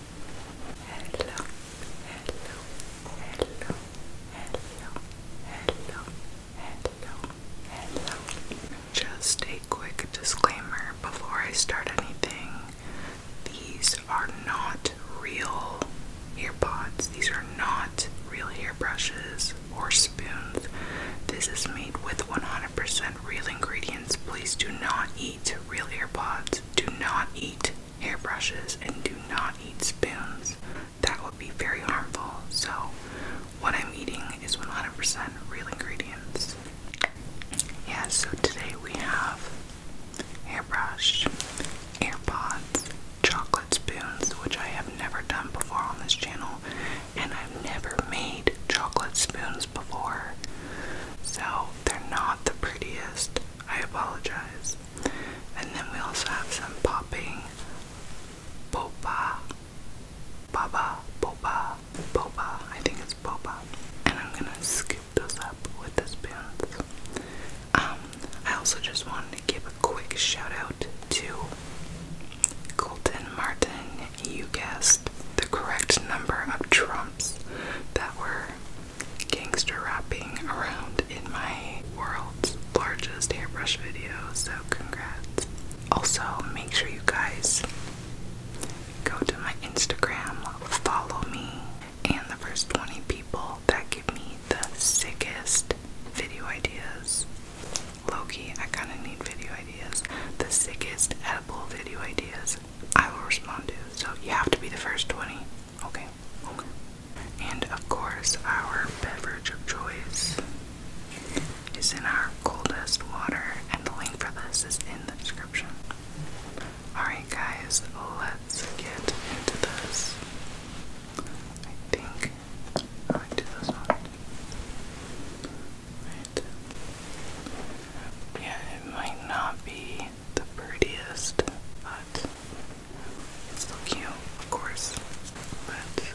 hello, hello, hello, hello, hello, hello, hello. Just a quick disclaimer before I start anything. These are not real earpods. These are not real hairbrushes or spoons. This is made with 100% real ingredients. Please do not eat real earpods. Do not eat hairbrushes and do not eat spoons. That would be very harmful. So, what I'm eating is 100% real ingredients. Yeah, so today we have hairbrush, AirPods, chocolate spoons, which I have never done before on this channel, and I've never made chocolate spoons before. So, they're not the prettiest. I apologize. And then we also have some popping boba, baba, boba, boba. I think it's boba. And I'm gonna scoop those up with this spoons. Um, I also just wanted to give a quick shout out to Colton Martin. You guessed the correct number of trumps that were gangster wrapping around in my world's largest hairbrush video, so congrats. Also, make sure you guys go to my Instagram, follow me, and the first 20 people that give me the sickest video ideas. Loki, I kind of need video ideas. The sickest edible video ideas I will respond to. So you have to be the first 20. Okay. And of course, our beverage of choice is in our coldest water, and the link for this is in the description. Alright, guys, let's get into this. I think I this one. Yeah, it might not be the prettiest, but it's still cute, of course. Let's get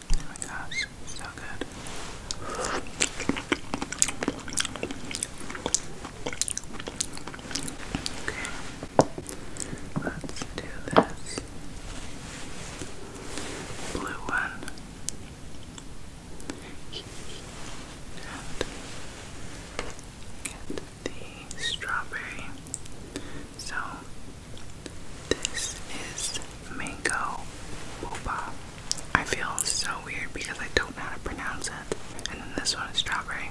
Oh my gosh, so good. Okay, let's do this blue one and get the strawberry. So this is mango boba. I feel so weird because I don't know how to pronounce it. And then this one is strawberry.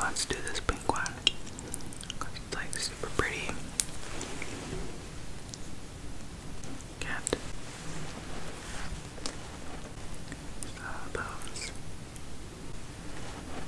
Let's do this pink one. It's like super pretty. Cat. Sawbones.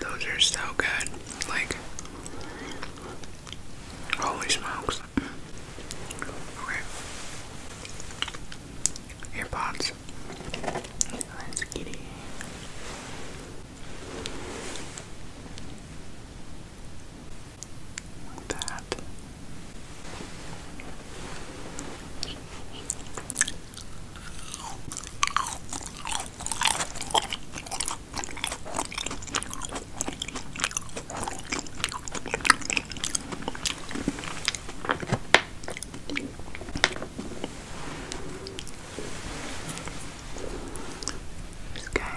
Those are so good. Like, holy smokes. Okay. that. This guy.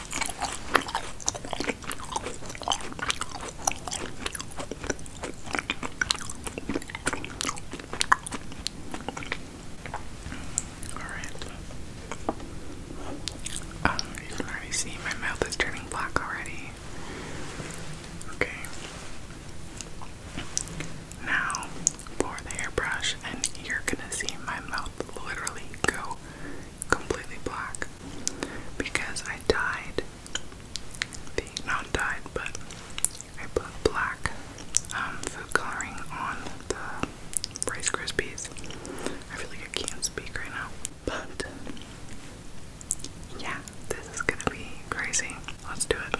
Alright. Uh, you can already see my mouth is turning black already. Okay. Now, for the airbrush, and you're gonna see my mouth literally go completely black because I dyed the not dyed but I put black um, food coloring on the Rice Krispies. I feel like I can't speak right now, but yeah, this is gonna be crazy. Let's do it.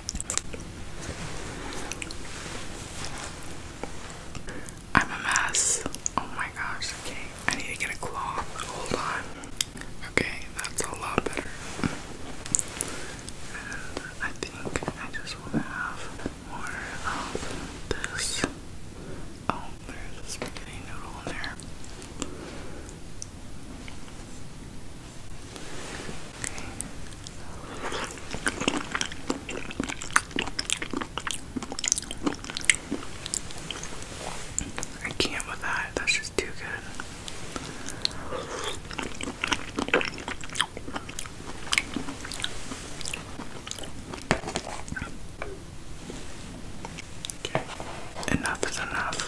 I'm a mess. Oh my gosh, okay. I need to get a cloth. Hold on. Okay, that's a lot better. I think I just want to have more of this. Oh, there's spaghetti noodle in there. I can't with that, that's just too good. Okay, enough is enough.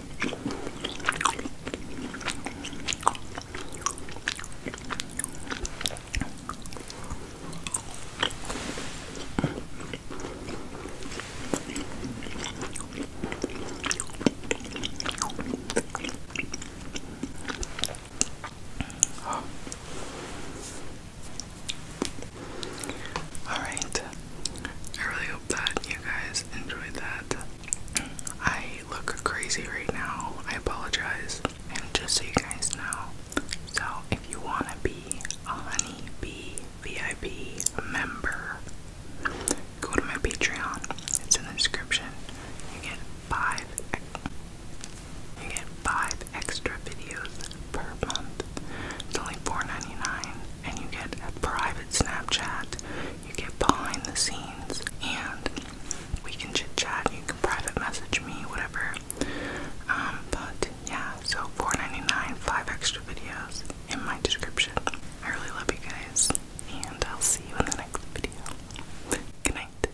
Alright, I really hope that you guys enjoyed that. I look crazy right now. I apologize. And just so you guys know, so if you want to be a Honey Bee VIP member, go to my Patreon. It's in the description. You get five. You get five extra videos per month. It's only $4.99, and you get a private Snapchat you get behind the scenes and we can chit chat, you can private message me, whatever. Um, but yeah, so 4 5 extra videos in my description. I really love you guys, and I'll see you in the next video. Good night.